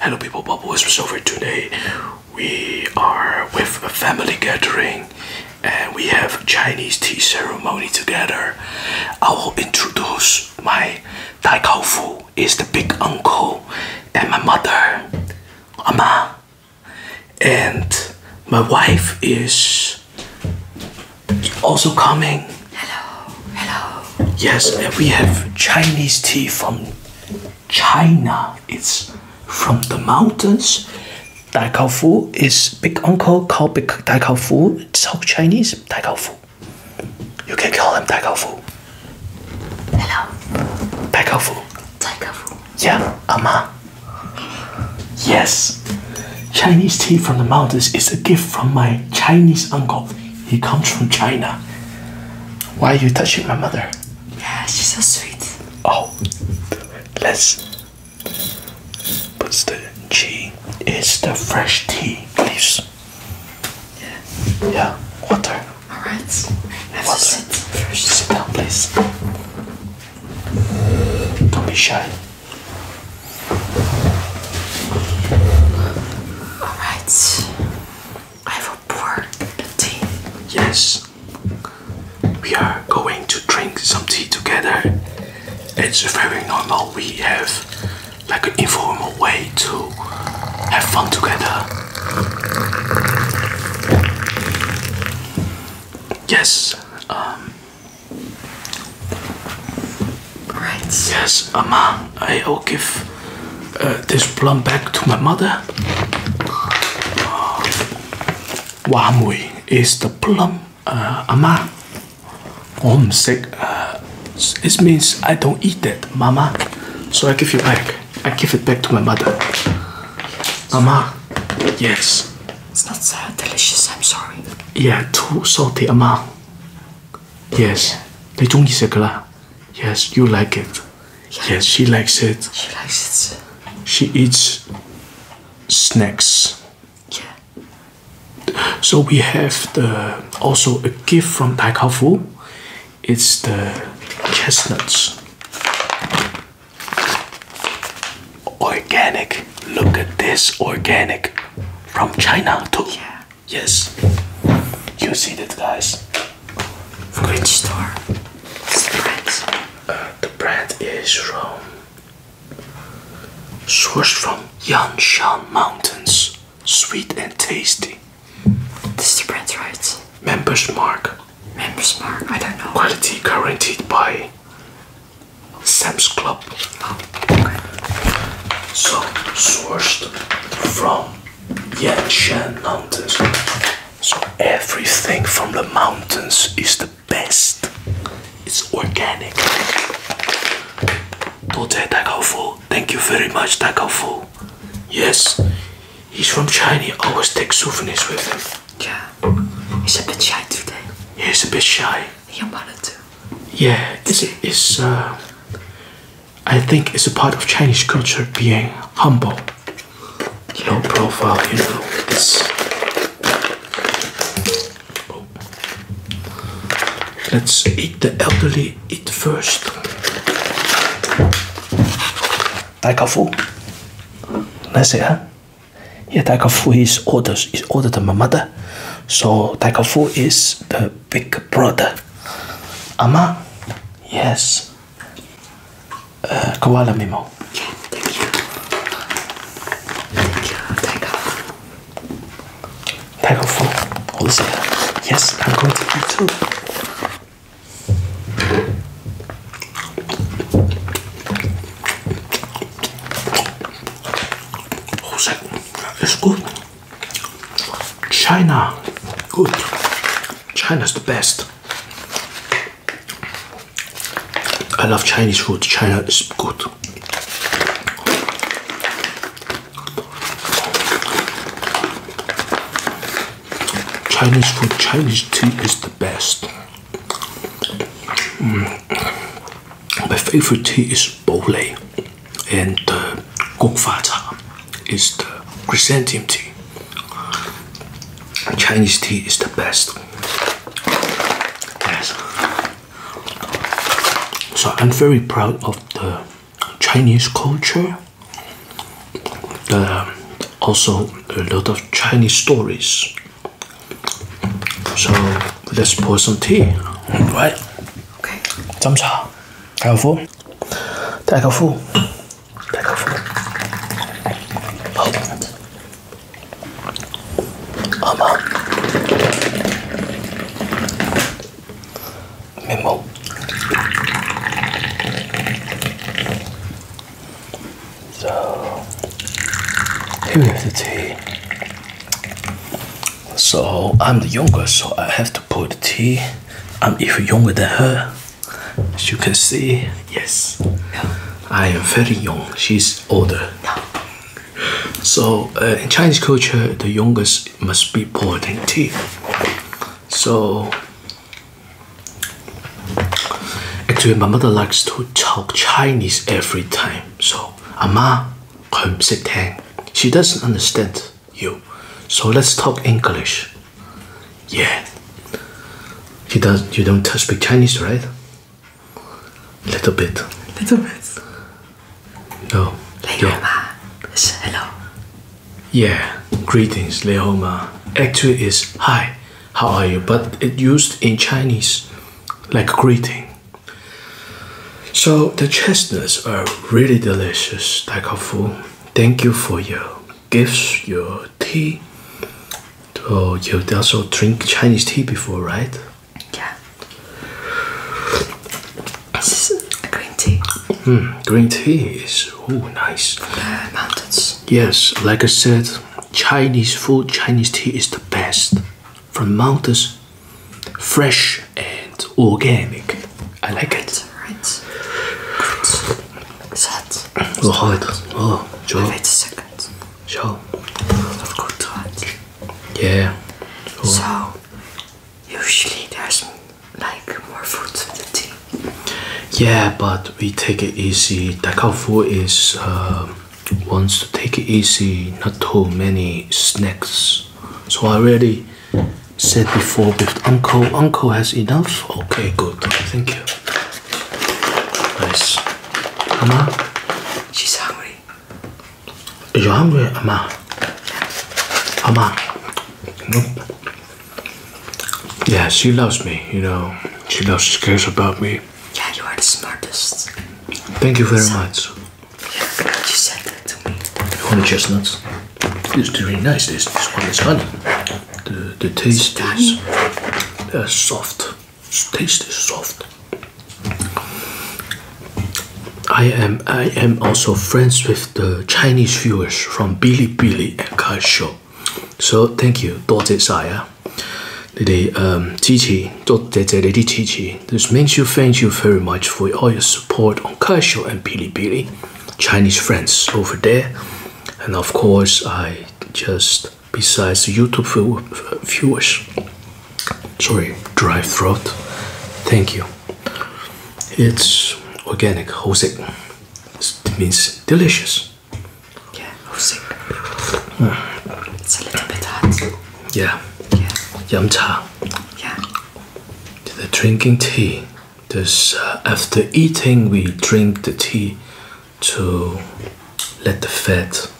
Hello people, Bobo is Whispers over today. We are with a family gathering and we have Chinese tea ceremony together. I will introduce my Tai Kao Fu is the big uncle and my mother, Ama. And my wife is also coming. Hello, hello. Yes, we have Chinese tea from China. It's from the mountains. Dai is big uncle called Big Dai Kao It's South Chinese Dai You can call him Dai Hello. Dai Kao Yeah, Ama. Yes. Chinese tea from the mountains is a gift from my Chinese uncle. He comes from China. Why are you touching my mother? Yeah, she's so sweet. Oh, let's. But the tea It's the fresh tea leaves. Yeah. Yeah. Water. All right. Have Water. Sit first. Sit down, please. Don't be shy. All right. I will pour the tea. Yes, we are going to drink some tea together. It's very normal. We have like an informal way to have fun together. Yes. Um, Right. Yes, Amma, I will give uh, this plum back to my mother. Wamui is the plum uh, ama. i uh, means I don't eat that, mama. So I give you back. I give it back to my mother. Mama, yes. It's not so delicious, I'm sorry. Yeah, too salty, ama. Yes. 내 종이 있을 Yes, you like it. Yes, she likes it. She likes it. She eats snacks. Yeah. So we have the also a gift from Tai Kao Fu. It's the chestnuts. Organic. Look at this organic from China too. Yeah. Yes, you see that, guys. Which store? the brand? Uh, the brand is from. Sourced from Yanshan Mountains. Sweet and tasty. This is the brand, right? Members Mark. Members Mark, I don't know. Quality guaranteed by Sam's Club. Oh, okay. So, sourced from Yan Shan Mountains. So everything from the mountains is the best. It's organic. Thank you very much, Takao Yes, he's from China. He always takes souvenirs with him. Yeah, he's a bit shy today. He's a bit shy. Your mother too. Yeah, it's, it's uh, I think it's a part of Chinese culture being humble, low profile, you know, Let's eat the elderly, eat first. Taikafu. us see, huh? Yeah, Taikafu is older, is older than my mother. So Taikafu is the big brother. Ama? Yes. Uh, koala Mimo. Yeah, thank you. Thank you. Take off. Take off. All this here. Yes, I'm going to eat too. Oh, that is good. China, good. China's the best. I love Chinese food. China is good. Chinese food, Chinese tea is the best. Mm. My favorite tea is bole and the gokfa is the chrysanthemum tea. Chinese tea is the best. Yes. So I'm very proud of the Chinese culture. The, also a lot of Chinese stories. So let's pour some tea, right? Okay. 怎么着？Hou vol. Kijk al vol. Oh man. So here Hier have the tea. So I'm the youngest, so I have to pour the tea. I'm even younger than her. As you can see, yes, I am very young. She's older. So uh, in Chinese culture, the youngest must be pouring tea. So actually, my mother likes to talk Chinese every time. So, Ama, she doesn't understand you. So let's talk English. Yeah. You don't you don't speak Chinese, right? A Little bit. Little bit. No. Yeah. Hello. Yeah. Greetings, Leoma. Actually, is hi. How are you? But it used in Chinese, like greeting. So the chestnuts are really delicious, Taika Fu. Thank you for your gifts, your tea. Oh, you also drink Chinese tea before, right? Yeah. This is green tea. Mm, green tea is oh nice. mountains. Yes, like I said, Chinese food, Chinese tea is the best. From mountains fresh and organic. I like it. Right. Good. Sad. We'll hold Oh, sure. Wait a second. Sure. Not good, Yeah. So, usually there's like more fruits food the tea. Yeah, but we take it easy. food is Once uh, to take it easy, not too many snacks. So I already said before uncle, uncle has enough. Okay, good. Thank you. Nice. Amma? She's hungry. You're hungry, Amma? Amma? Nope. Yeah, she loves me, you know. She loves, she cares about me. Yeah, you are the smartest. Thank you very much you said that to me. You the chestnuts? It's really nice. This one is honey. The the taste is uh, soft. taste is soft. I am I am also friends with the Chinese viewers from Billy Billy and Show. So thank you，多謝晒啊！你哋誒、嗯、支持，多謝謝你啲支持。this means you thank you very much for all your support on Kaisho and Billy Billy, Chinese friends over there. And of course, I just, besides YouTube viewers, sorry, dry throat, thank you. It's organic, Hosek. It means delicious. Yeah, Hosek. It's a little bit hot. Yeah. Yeah. Yum yeah. The drinking tea. This uh, after eating, we drink the tea to let the fat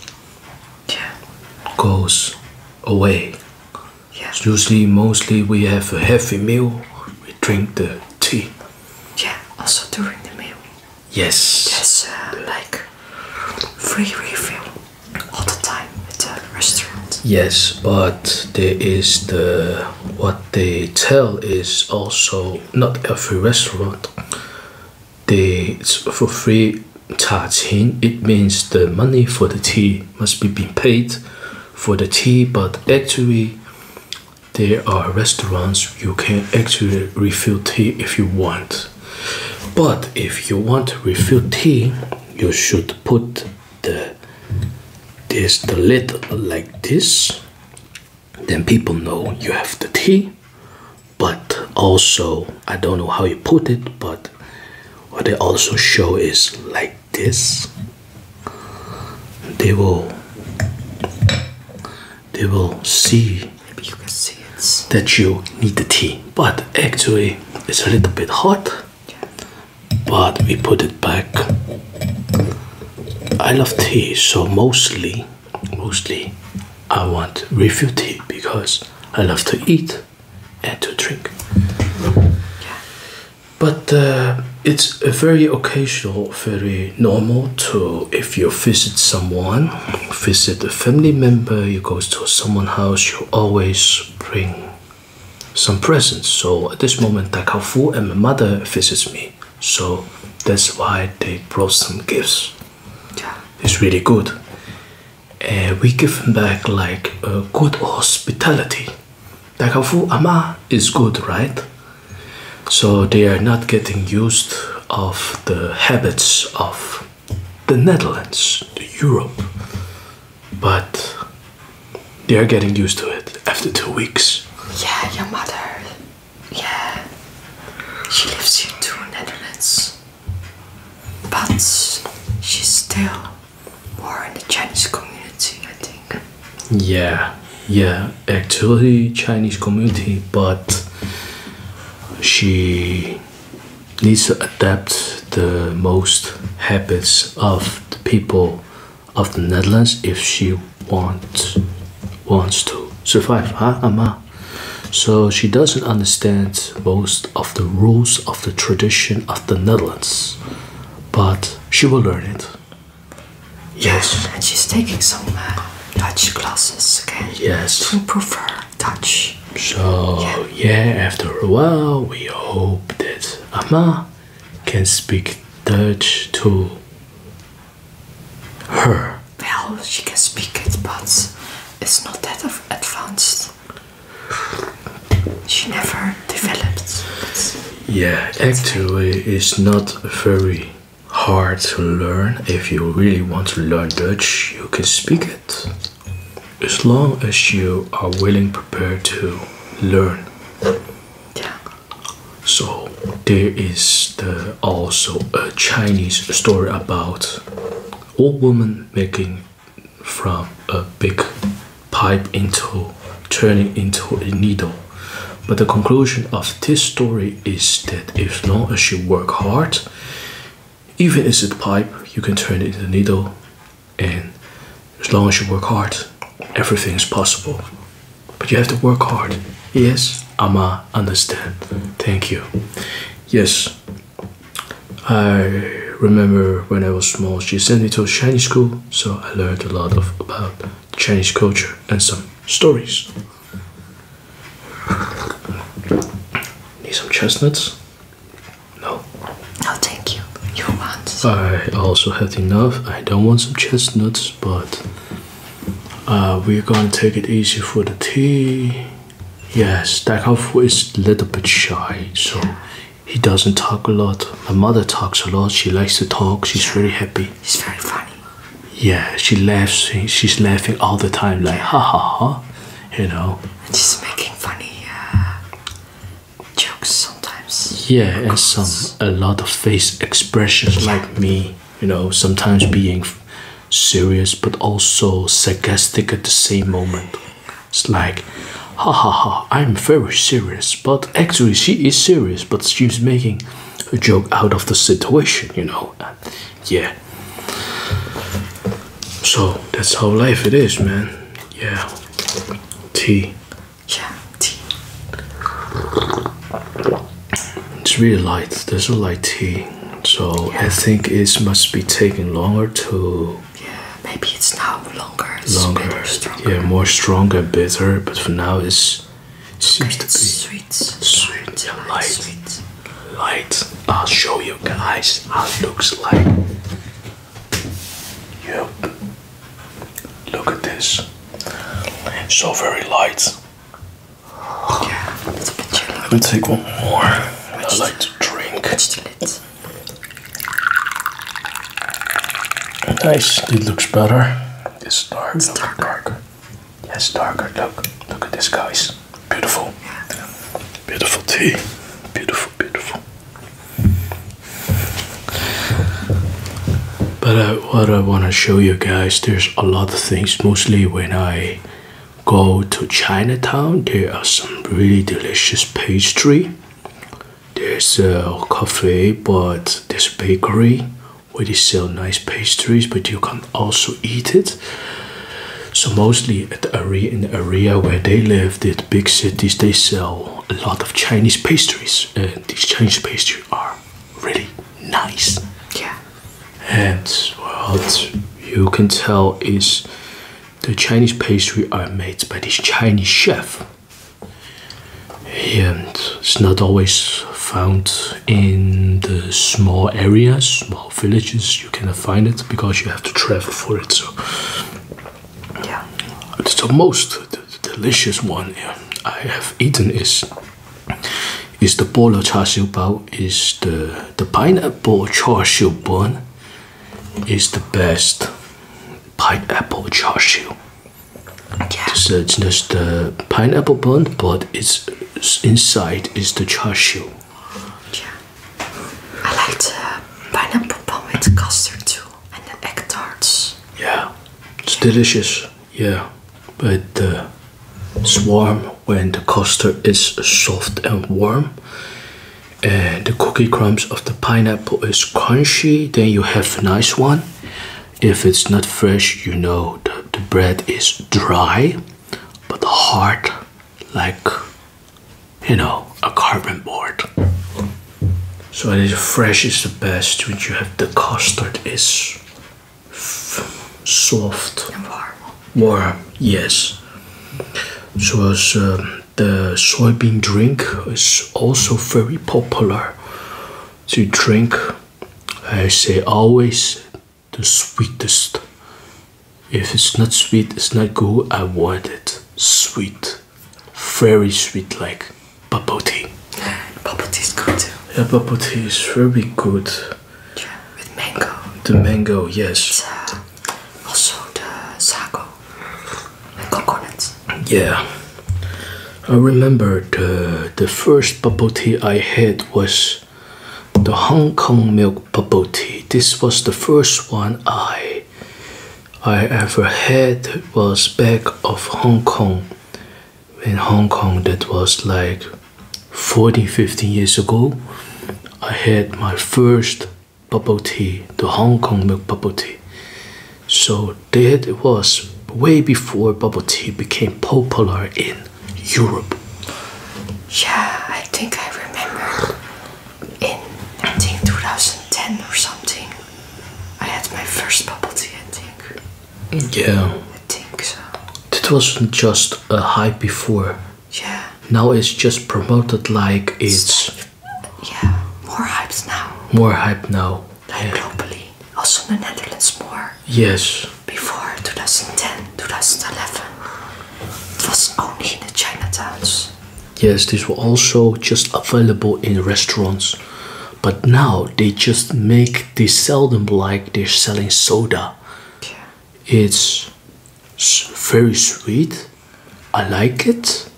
goes away. usually, mostly we have a heavy meal. We drink the tea. Yeah. Also during the meal. Yes. Yes. Uh, like free refill all the time at the restaurant. Yes, but there is the what they tell is also not every restaurant. They it's for free charging. It means the money for the tea must be being paid for the tea, but actually there are restaurants you can actually refill tea if you want. But if you want to refill tea, you should put the this the lid like this. Then people know you have the tea. But also, I don't know how you put it, but what they also show is like this. They will they will see. Maybe you can see that you need the tea. But actually, it's a little bit hot. But we put it back. I love tea, so mostly, mostly, I want refill tea because I love to eat and to drink. But uh, it's a very occasional, very normal to if you visit someone visit a family member, you go to someone's house, you always bring some presents. So at this moment, Takafu and my mother visits me. So that's why they brought some gifts. Yeah. It's really good. And we give back like a good hospitality. Takafu, Ama is good, right? So they are not getting used of the habits of the Netherlands, Europe. But they are getting used to it after two weeks. Yeah, your mother. Yeah. She lives in the Netherlands. But she's still more in the Chinese community, I think. Yeah, yeah, actually Chinese community, but she needs to adapt the most habits of the people of the Netherlands if she wants wants to survive, huh, Amma? So she doesn't understand most of the rules of the tradition of the Netherlands, but she will learn it. Yes. And she's taking some uh, Dutch classes again. Yes. To improve touch. So yeah. after a while, we hope that Amma can speak Dutch to her. Well, she can speak it, but it's not that advanced. She never developed. Yeah, actually, it's not very hard to learn. If you really want to learn Dutch, you can speak it as long as you are willing prepared to learn yeah. so there is the, also a chinese story about old woman making from a big pipe into turning into a needle but the conclusion of this story is that as long as you work hard even if it's a pipe, you can turn it into a needle, and as long as you work hard, everything is possible. But you have to work hard. Yes, Ama understand. Thank you. Yes, I remember when I was small, she sent me to a Chinese school, so I learned a lot of about Chinese culture and some stories. Need some chestnuts? No. No, oh, thank you. You want I also had enough. I don't want some chestnuts, but uh, we're gonna take it easy for the tea. Yes, Stackhoff is a little bit shy, so he doesn't talk a lot. My mother talks a lot. She likes to talk. She's very happy. She's very funny. Yeah, she laughs. She's laughing all the time, like ha ha ha, you know she's making funny uh, jokes sometimes. Yeah, and some a lot of face expressions like me, you know, sometimes being serious but also sarcastic at the same moment. It's like, ha ha ha, I'm very serious, but actually she is serious, but she's making a joke out of the situation, you know yeah. So that's how life it is, man. Yeah. Tea. Yeah, tea. It's really light. This is light tea. So I think it must be taking longer to. Yeah, maybe it's now longer. longer. Bitter, yeah, more stronger, bitter. But for now, it's it seems to be sweet, sweet, sweet yeah, Sweet light. I'll show you guys how it looks like. Yep. Look at this. So very light. Yeah, Let me take one more. I like to drink. Nice. It looks better. It's dark. It's darker. darker. Yes, darker. Look. Look at this, guys. Beautiful. Beautiful tea. Beautiful, beautiful. But uh, what I want to show you guys, there's a lot of things. Mostly when I go to Chinatown, there are some really delicious pastry. There's a cafe, but there's a bakery where they sell nice pastries, but you can also eat it. So mostly at area in the area where they live, the big cities, they sell a lot of Chinese pastries, and these Chinese pastries are really nice. Yeah. And what you can tell is the Chinese pastry are made by this Chinese chef. And it's not always found in the small areas, small villages, you cannot find it because you have to travel for it. So, yeah. The most delicious one I have eaten is is the of char siu bao. Is the the pineapple char siu bun is the best pineapple char siu. Yeah. It's, it's just the pineapple bun, but it's inside is the char siu. Yeah. I like the pineapple bun with custard too, and the egg tarts. Yeah, it's delicious. Yeah, but the it's warm when the custard is soft and warm. And the cookie crumbs of the pineapple is crunchy, then you have a nice one. If it's not fresh, you know the bread is dry but the heart like you know a carbon board so it is fresh is the best when you have the custard is soft and warm yes so as um, the soybean drink is also very popular to drink i say always the sweetest. If it's not sweet, it's not good. I want it sweet, very sweet, like bubble tea. Bubble tea is good too. Yeah, bubble tea is very good. Yeah, with mango. The mango, yes. Uh, also the sago and coconuts. Yeah. I remember the the first bubble tea I had was the Hong Kong milk bubble tea. This was the first one I I ever had was back of Hong Kong. In Hong Kong that was like 14 15 years ago. I had my first bubble tea, the Hong Kong milk bubble tea. So that was way before bubble tea became popular in Europe. Yeah, I think I remember in I think 2010 or something. I had my first bubble tea, I think. Yeah. I think so. It wasn't just a hype before. Yeah. Now it's just promoted like it's. yeah, more hyped now. More hype now. globally. Also in the Netherlands, more. Yes. Before 2010, 2011, it was only in the Chinatowns. Yes, these were also just available in restaurants. But now they just make they sell them like they're selling soda. Yeah. It's very sweet. I like it.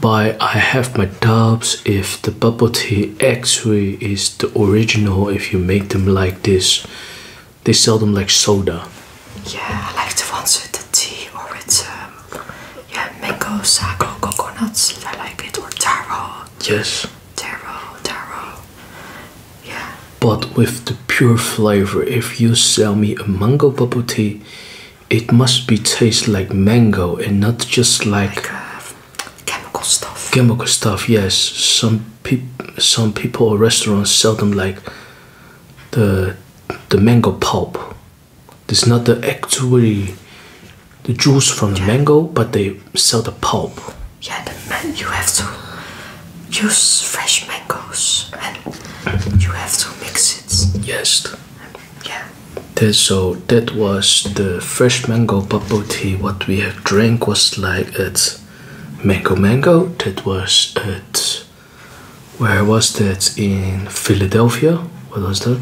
But I have my doubts if the bubble tea actually is the original if you make them like this they sell them like soda. Yeah, I like the ones with the tea or it's um, yeah mango, sago, coconuts. I like it or taro. Yes. Taro, taro. Yeah. But with the pure flavor, if you sell me a mango bubble tea, it must be taste like mango and not just like uh, chemical stuff. Chemical stuff, yes. Some people, some people restaurants sell them like the the mango pulp. It's not the actually the juice from the mango, but they sell the pulp. Yeah, the man you have to use fresh mangoes and you have to mix it. Yes. Yeah. so that was the fresh mango bubble tea. What we have drank was like at Mango Mango. That was at where was that in Philadelphia? What was that?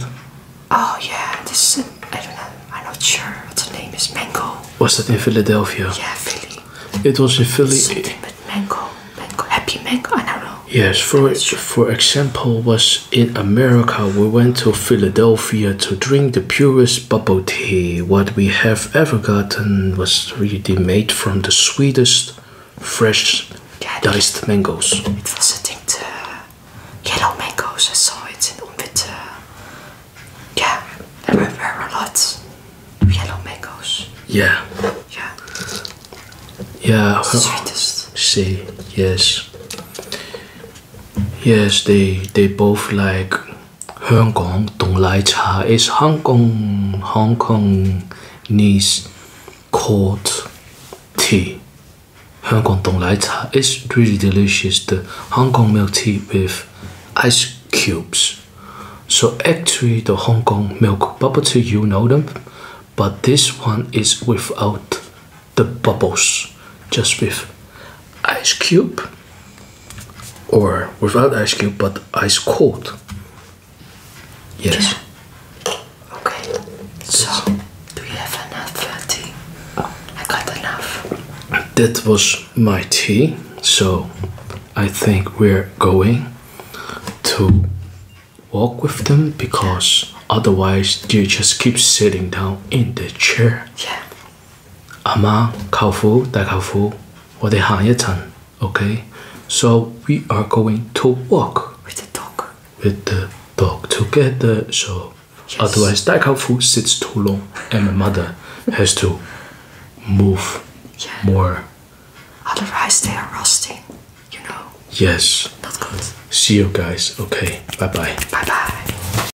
Oh yeah, this is I don't know. I'm not sure what the name is. Mango. Was that in Philadelphia? Yeah, Philly. It was in Philly. Something but mango, mango, happy mango. I don't know. Yes, for for example, was in America. We went to Philadelphia to drink the purest bubble tea what we have ever gotten was really made from the sweetest fresh yeah, diced mangoes. It was a think the yellow mangoes I saw it in Umwit. Yeah, there were a lot of yellow mangoes. Yeah. Yeah. Yeah. sweetest. See, yes. Yes, they they both like 香港凍奶茶 is Hong Kong Hong Kong Kongese cold tea. Hong Kong Dong Lai Cha is really delicious. The Hong Kong milk tea with ice cubes. So actually the Hong Kong milk bubble tea, you know them. But this one is without the bubbles. Just with ice cube or without ice cube but ice cold. Yes. Okay. So, do you have enough tea? I got enough. That was my tea. So, I think we're going to walk with them because otherwise you just keep sitting down in the chair. Yeah. 阿妈、Kaufu, Dai Kaufu, or the Hanyatan. Okay, so we are going to walk with the dog. With the dog together, so yes. otherwise Dai Kaufu sits too long, and my mother has to move more. Otherwise, they are rusting, You know. Yes. Not good. See you guys. Okay. Bye bye. Bye bye.